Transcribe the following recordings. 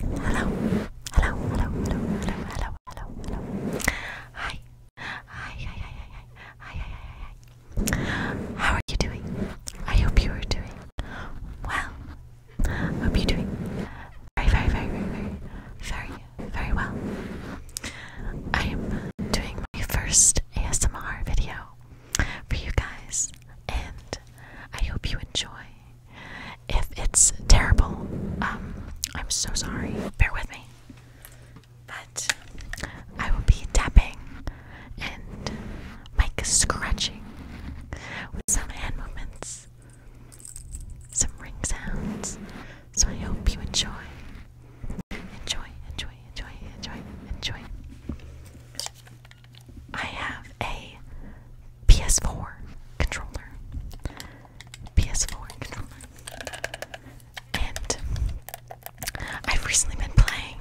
Hello, hello, hello, hello, hello, hello, hello, Hi, hi, hi, hi, hi, hi, hi, hi, How are you doing? I hope you are doing well. Hope you're doing very, very, very, very, very, very, very well. I am doing my first ASMR video for you guys, and I hope you enjoy. If it's terrible, um, I'm so sorry. Bear with me. But I will be tapping and Mike scratching with some hand movements, some ring sounds. So I hope you enjoy. Enjoy, enjoy, enjoy, enjoy, enjoy. I have a PS4 controller. PS4 controller. And I've recently been playing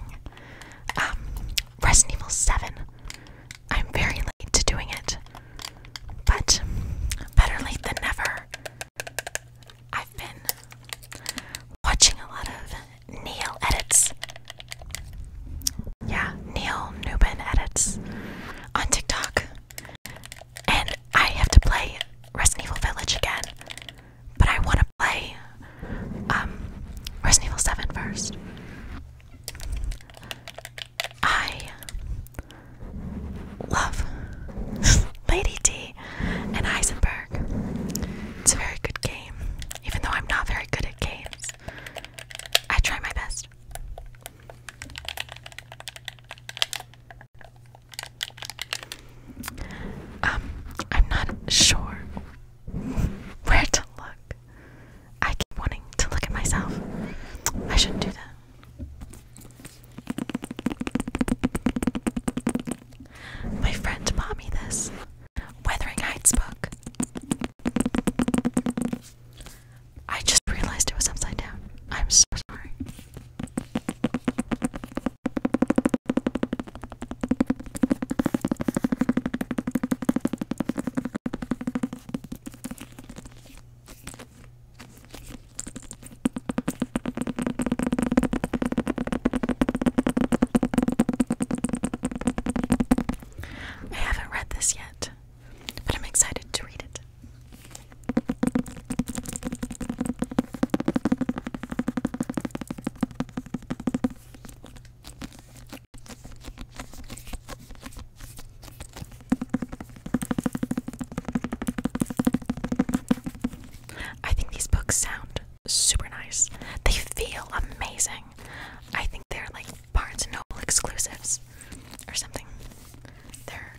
um, Resident Evil 7. I'm very late to doing it, but better late than never. I've been watching a lot of Neil edits. Yeah, Neil Newman edits on TikTok. And I have to play Resident Evil Village again. But I want to play um, Resident Evil 7 first. I love Lady D and Heisenberg. It's a very good game, even though I'm not very good at games. I try my best. Um, I'm not sure where to look. I keep wanting to look at myself. I shouldn't do that. My friend bought me this Wuthering Heights book. I just realized it was upside down. I'm so sorry. I haven't read this yet but I'm excited to read it. I think these books sound super nice. They feel amazing. I think they're like Barnes & Noble exclusives or something. They're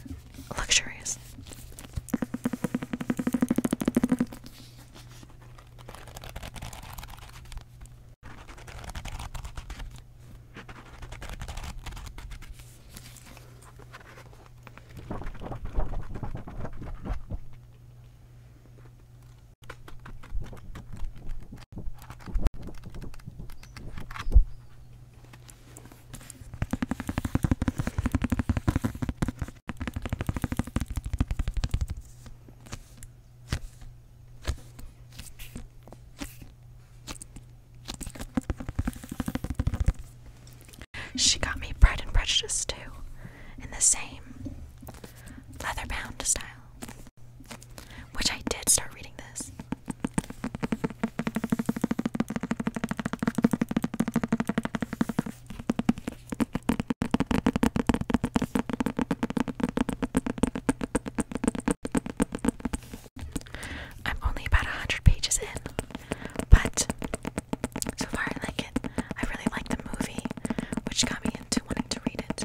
luxurious. She got me Pride and Prejudice too, in the same leather bound style. Which I did start reading this. I'm only about a hundred pages in, but so far I like it. I really like the movie, which got me into wanting to read it.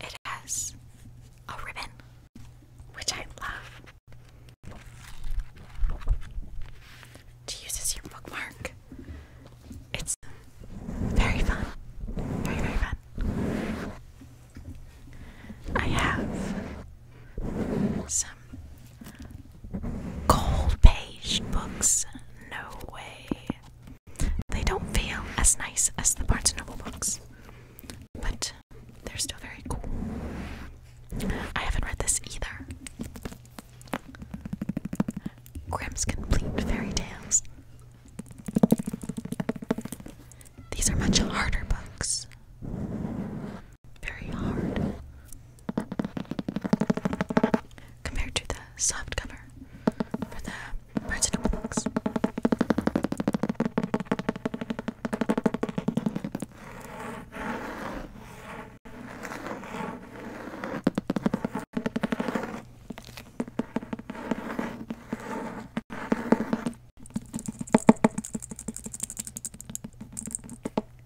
It has a ribbon, which I love to use as your bookmark. It's very fun. Very, very fun. I have some Gold page books, no way. They don't feel as nice as the Barnes & Noble books, but they're still very cool. I haven't read this either. Grimm's Complete Fairy Tales. These are much harder books very hard compared to the soft cover for the Barnes books.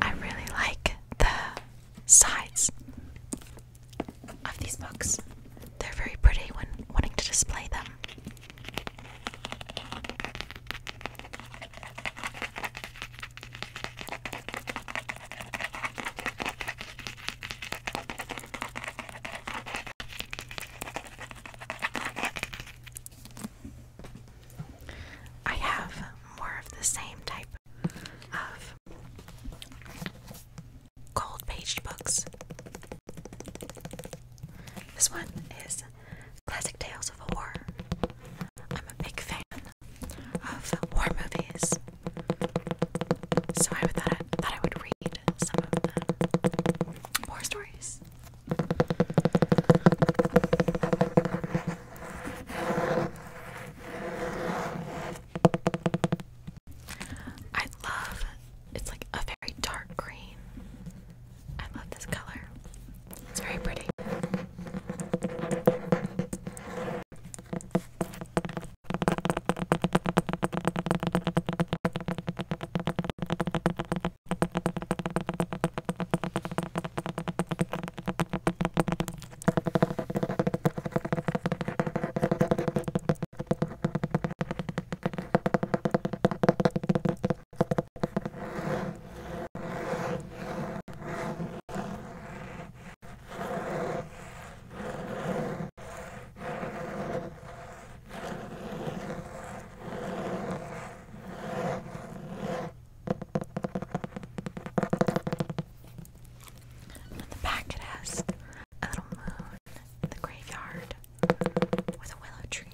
I really like the sides of these books. They're very pretty when wanting to display them. I have more of the same type of cold page books. This one is classic tales of horror. I'm a big fan of war movies, so I thought I, would read some of them. Horror stories. I love it's like a very dark green I love this color. It's very pretty. And on the back it has a little moon in the graveyard with a willow tree.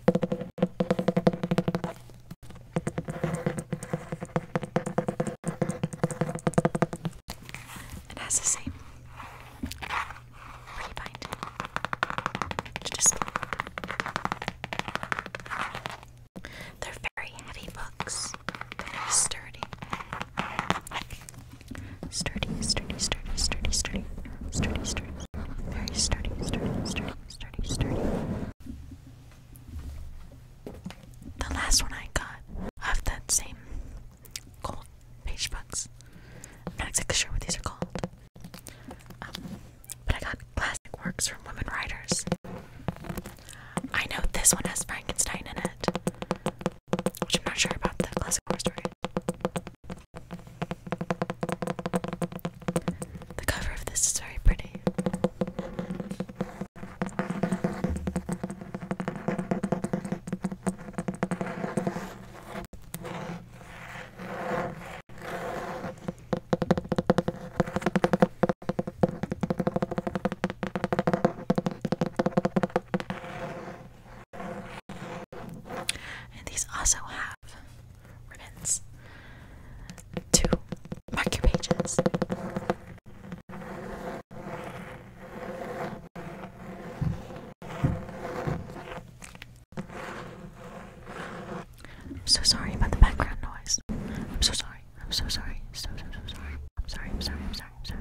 It has the same pretty to display. They're very heavy books. Very sturdy. Sturdy, sturdy, sturdy, sturdy, sturdy, sturdy, sturdy. Very sturdy, sturdy, sturdy sturdy, sturdy. The last one I got of that same gold page books. am not exactly sure what these are called. Um, but I got classic works from women writers. I know this one has Frankenstein in it, which I'm not sure about the classic horror story. The cover of this is very pretty. And these also have ribbons to mark your pages. I'm so sorry about the background noise. I'm so sorry. I'm so sorry. So so so sorry. I'm sorry. I'm sorry. I'm sorry. I'm sorry.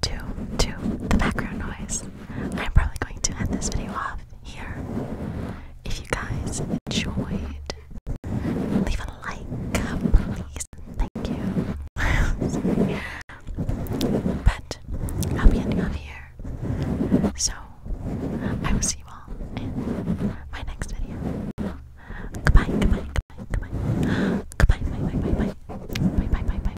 to to the background noise. I'm probably going to end this video off here. If you guys enjoyed, leave a like, please. Thank you. But I'll be ending off here. So I will see you all in my next video. Goodbye, goodbye, goodbye, goodbye. Goodbye, bye, bye, bye, bye. Bye, bye, bye, bye.